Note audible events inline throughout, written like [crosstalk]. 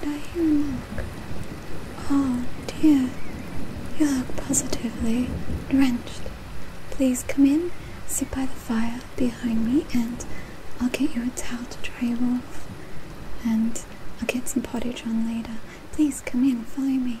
Did I hear a knock? Oh dear, you look positively drenched. Please come in, sit by the fire behind me, and I'll get you a towel to dry you off. And I'll get some pottage on later. Please come in, follow me.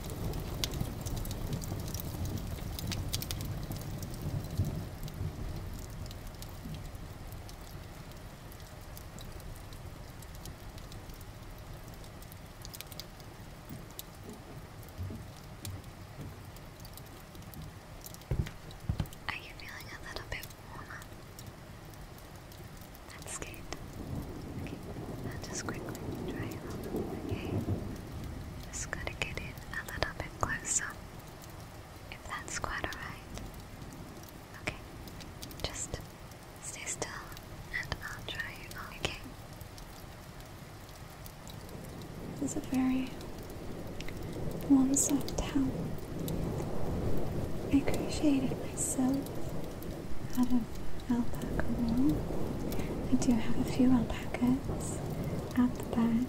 Are you feeling a little bit warmer? That's good i just quickly try it on, Just gotta get in a little bit closer, if that's quite alright. Okay, just stay still and I'll try it on, okay? a very warm, soft towel. I appreciate it myself out of alpaca wool. I do have a few alpacas at the back.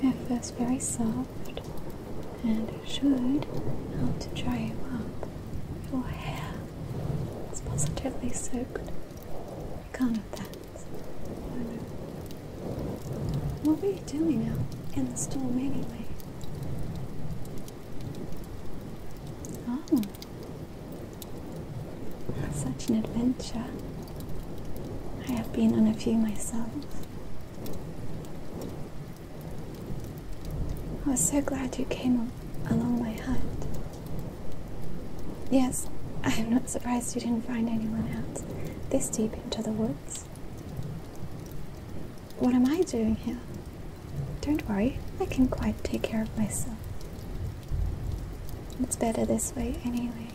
They're first very soft and should help to dry you up. Your hair is positively soaked. I can't have that. What were you doing out in the storm anyway? Oh, such an adventure. I have been on a few myself. I was so glad you came along my hunt. Yes, I am not surprised you didn't find anyone else this deep into the woods. What am I doing here? Don't worry, I can quite take care of myself. It's better this way anyway.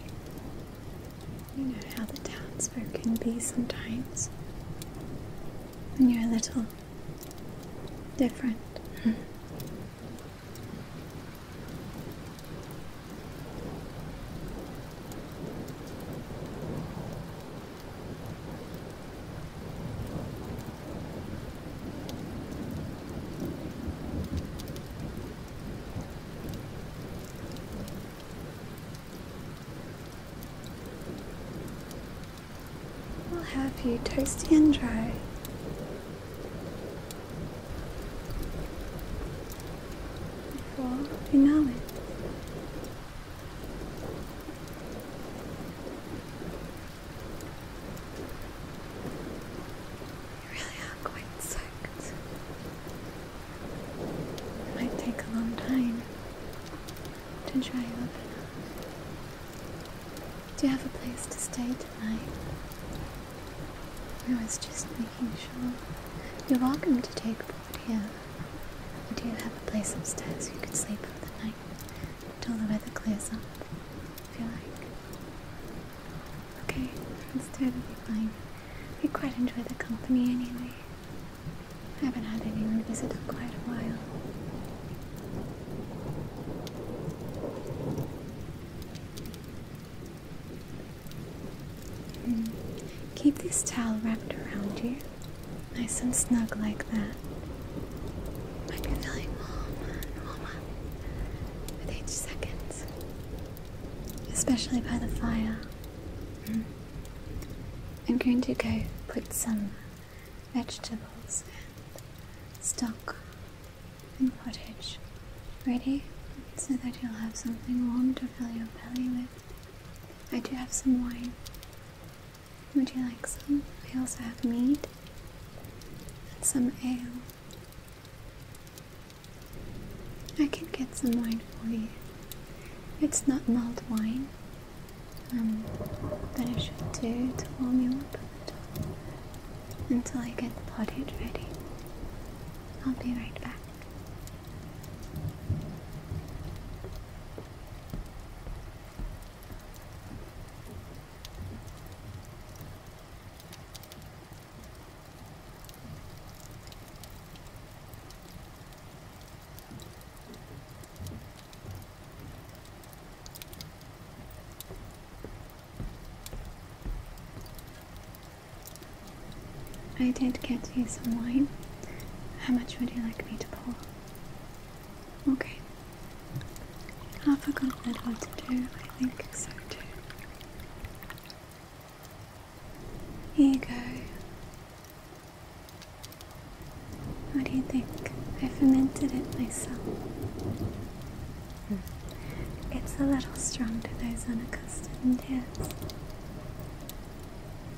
You know how the townsfolk can be sometimes. When you're a little different. [laughs] We'll have you toasty and dry. Before you know it. You really are quite sick. It might take a long time to dry you up Do you have a place to stay tonight? I was just making sure. You're welcome to take a board here. Do you have a place upstairs you could sleep for the night? till the weather clears up, if you like. Okay, it's totally fine. We quite enjoy the company anyway. I haven't had anyone visit in quite a while. Hmm. Keep this towel wrapped around you Nice and snug like that. I've been feeling warmer with each second. Especially by the fire. Hmm. I'm going to go put some vegetables and stock and pottage ready so that you'll have something warm to fill your belly with. I do have some wine. Would you like some? We also have meat and some ale. I can get some wine for you. It's not mulled wine, um, but it should do to warm you up until I get the pottage ready. I'll be right back. I did get you some wine. How much would you like me to pour? Okay. I've forgotten what to do. I think so too. Here you go. What do you think? I fermented it myself. It's a little strong to those unaccustomed ears.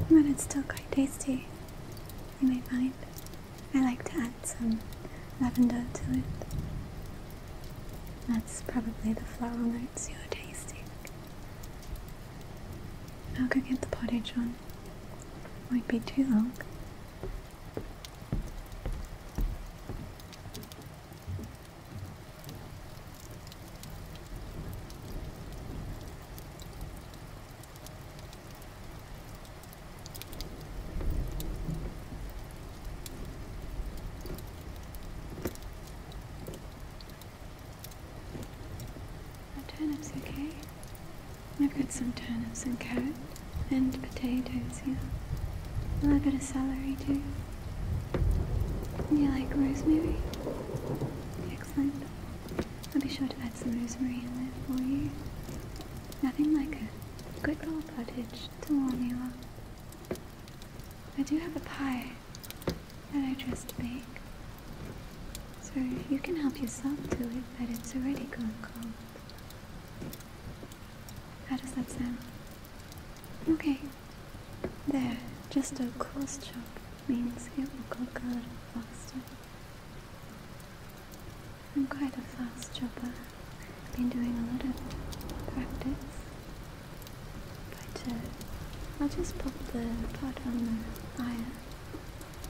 But it's still quite tasty you may find. I like to add some lavender to it. That's probably the floral notes you're tasting. I'll go get the pottage on. Won't be too long turnips okay? I've got some turnips and carrots and potatoes here. A little bit of celery too. You like rosemary? Excellent. I'll be sure to add some rosemary in there for you. Nothing like a good old pottage to warm you up. I do have a pie that I just baked, so you can help yourself to it, but it's already gone cold. How does that sound? Okay. There, just a coarse chop means it will go good little faster. I'm quite a fast chopper. I've been doing a lot of practice. I'll just pop the pot on the fire.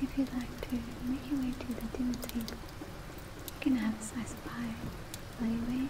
If you'd like to make your way to the dinner table, you can have a slice of pie while you wait.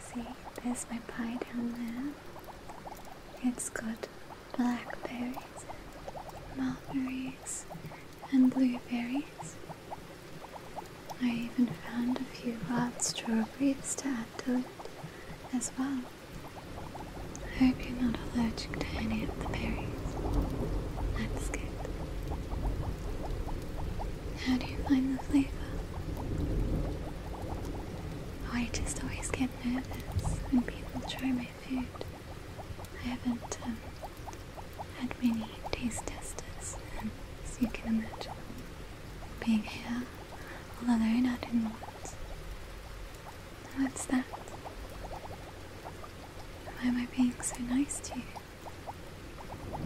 See, there's my pie down there. It's got blackberries, mulberries, and blueberries. I even found a few wild strawberries to add to it as well. I hope you're not allergic to any of the berries. That's good. How do you find the flavor? Oh, I just always get nervous when people try my food. I haven't um, had many taste testers, as you can imagine. Being here, although all alone not in the woods. What's that? Why am I being so nice to you?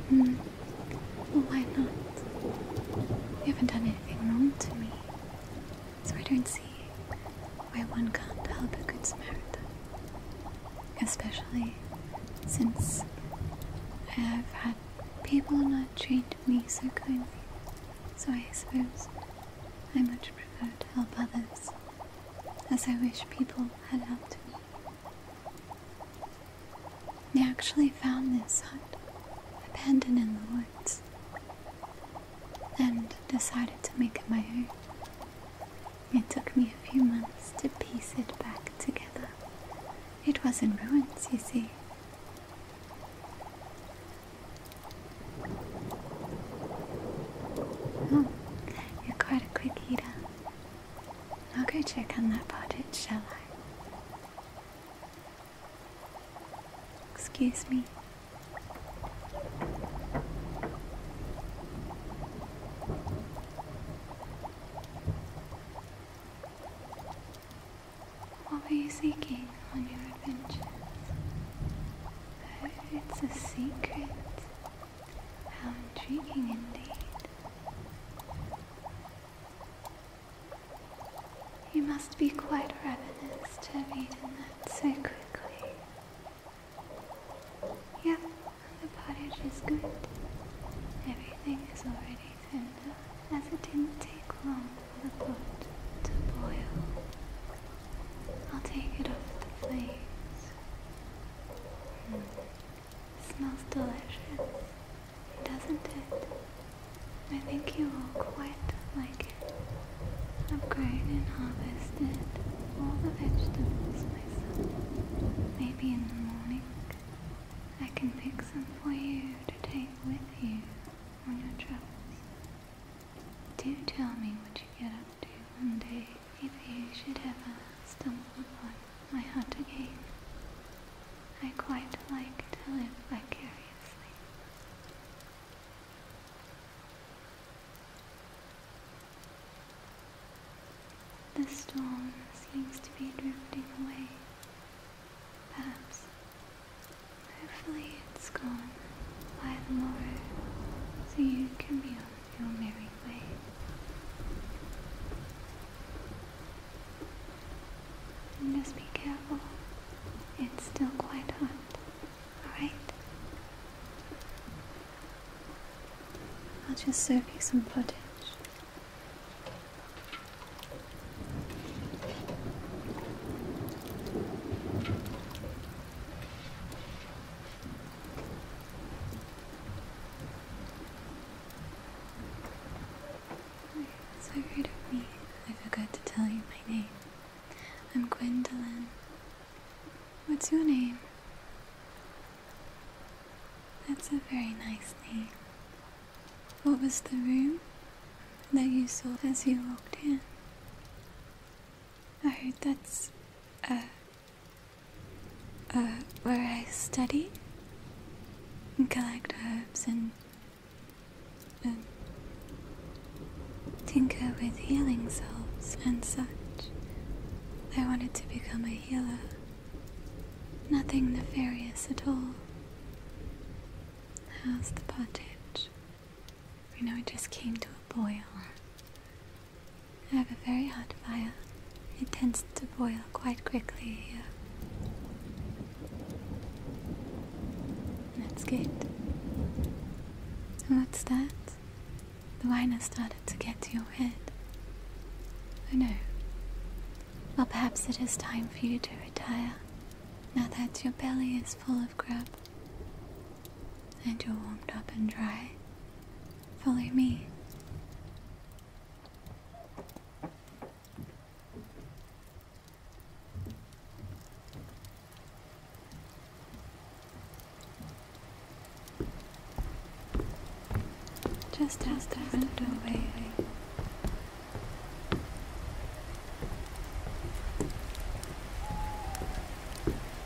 Hmm. Well, why not? You haven't done anything wrong to me. So I don't see why one can't help a good Samaritan. Especially since I have had people not treat me so kindly. So I suppose I much prefer to help others, as I wish people had helped me. I actually found this hut abandoned in the woods and decided to make it my own. It took me a few months to piece it back together. It was in ruins, you see. Oh, you're quite a quick eater. I'll go check on that cottage, shall I? Excuse me. What were you seeking on your adventures? Oh, it's a secret. How intriguing indeed. You must be quite ravenous to have eaten that so quickly. Yep, the pottage is good. Everything is already tender, as it didn't take long for the pot to boil. I'll take it off the flames. Hmm. Smells delicious, doesn't it? I think you will quite like it. I've grown and harvested all the vegetables myself. Maybe in the morning I can pick some for you to take with you on your travels. Do tell me what you get up do one day if you should ever stumble upon my heart again. I quite like to live vicariously. The storm seems to be drifting away. Perhaps. Hopefully it's gone by tomorrow so you can be your merry way. just be careful. It's still quite hot. Alright? I'll just serve you some footage. So great me. I forgot to tell you my name. I'm Gwendolyn. What's your name? That's a very nice name. What was the room that you saw as you walked in? Oh, that's a uh, uh, where I study and collect herbs and tinker with healing salts and such. I wanted to become a healer. Nothing nefarious at all. How's the pottage? You know, it just came to a boil. I have a very hot fire. It tends to boil quite quickly here. That's good. What's that? The wine has started to get to your head. Oh no. Well, perhaps it is time for you to retire. Now that your belly is full of and you're warmed up and dry. Follow me. Just out the front doorway.